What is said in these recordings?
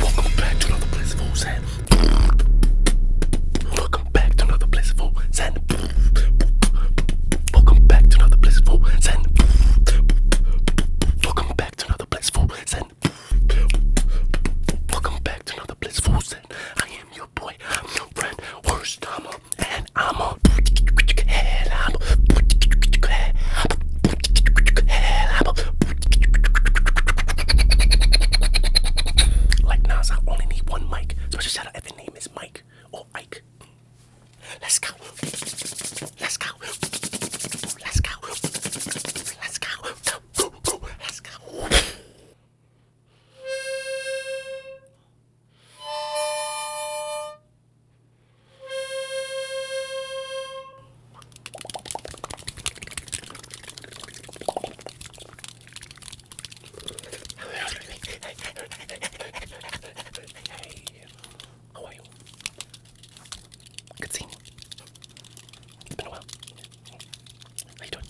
Welcome back to another blissful set. Welcome back to another blissful Zen. Welcome back to another blissful Zen. Welcome back to another blissful Zen. I am your boy. I'm your friend, worst Tama, and I'm a like Nas, I only need one mic. So shout out at my name is Mike or Ike. Let's go. Let's go. Let's go. Let's go. Go, go, go. Let's go. Hey, how are you? Good seeing you. It's been a while. How you doing?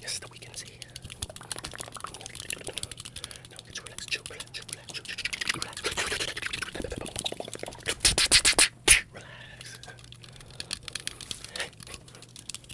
Yes, the weekend's here. Now get you relax, chill, relax, chill, relax, chill, chill, relax, relax. Relax.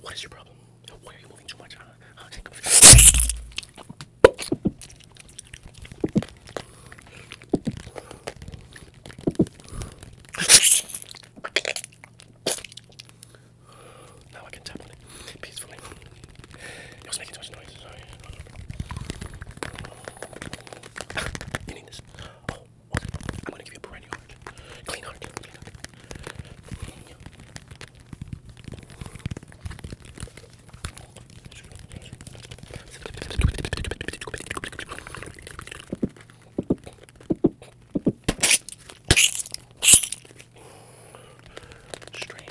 What is your problem? Why are you moving too much? Uh, uh, now I can tap on it peacefully. It making too much noise, You need this. Oh. Okay, I'm gonna give you a brand new heart. Clean heart, clean heart. Straight.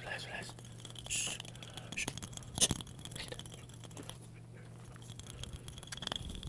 Relax, relax, relax. Shh, shh, shh.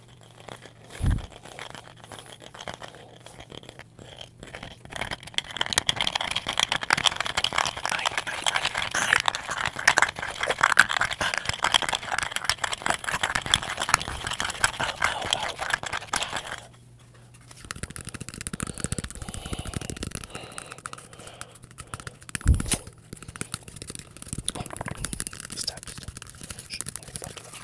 Stop, stop. Shh. Stop, stop. Shh.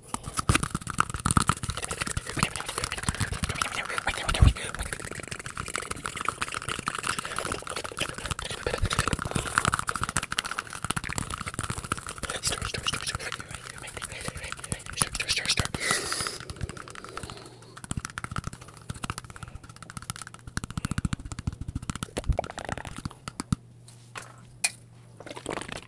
Stir, stir, stir, stir. Stir, stir, stir, stir. I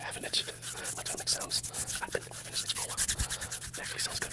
have an itch. I don't make sounds. I can finish this for a while. It actually sounds good.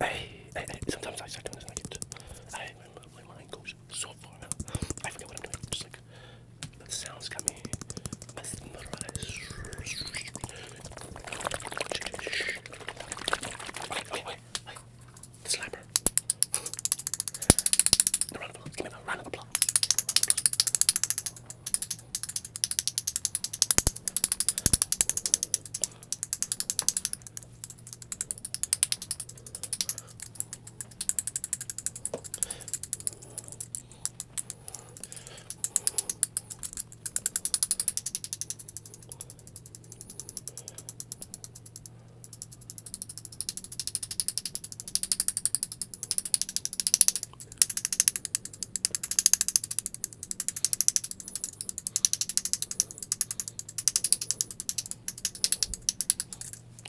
Hey, hey, hey, sometimes I start doing this and I get to, I, my, my mind goes so far now. I forget what I'm doing. Just like, the sounds got me mesmerized. Wait, wait, wait, wait. The slapper. A round of applause. Give me a round of applause.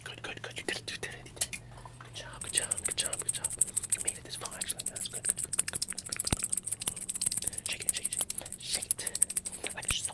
Good, good, good. You did it. You did it. Good job. Good job. Good job. Good job. You made it this far, actually. That's good. Good, good, good, good, good, good, good, good. Shake it, shake it, shake it. Shake it. Like a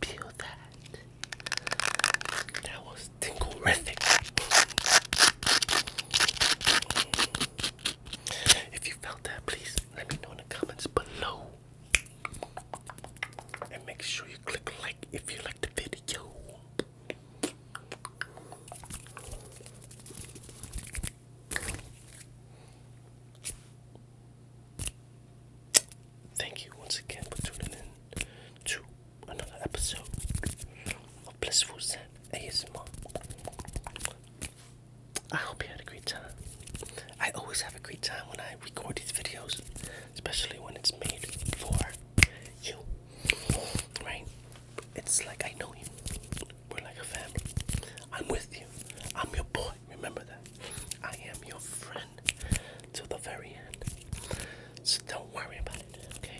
Peel that. That was tinglerific. If you felt that, please let me know in the comments below. And make sure you click like if you like the video. Thank you once again for tuning in to another episode of Blissful Zen ASMR. I hope you had a great time. I always have a great time when I record these videos, especially when it's made for you. Right? It's like I know you. We're like a family. I'm with you. I'm your boy. Remember that. I am your friend to the very end. So don't worry about it, okay?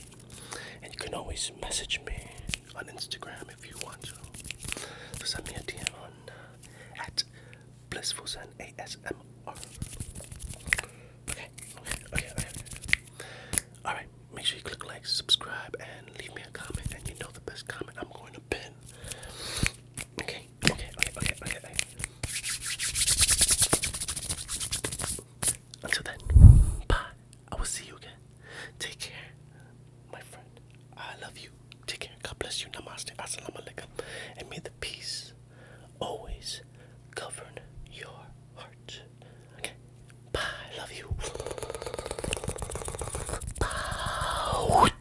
And you can always message me on Instagram if you want to. So send me a DM on uh, at blissfulzen ASMR. Okay, okay, okay, okay. Alright, make sure you click like, subscribe, and leave me a comment. And you know the best comment I'm going to pin. Okay, okay, okay, okay, okay, okay, okay. Until then, bye. I will see you again. Take care, my friend. I love you. Take care. God bless you. Namaste. Assalamu alaikum. And may the peace always govern your heart. Okay. Bye. I love you. Bye.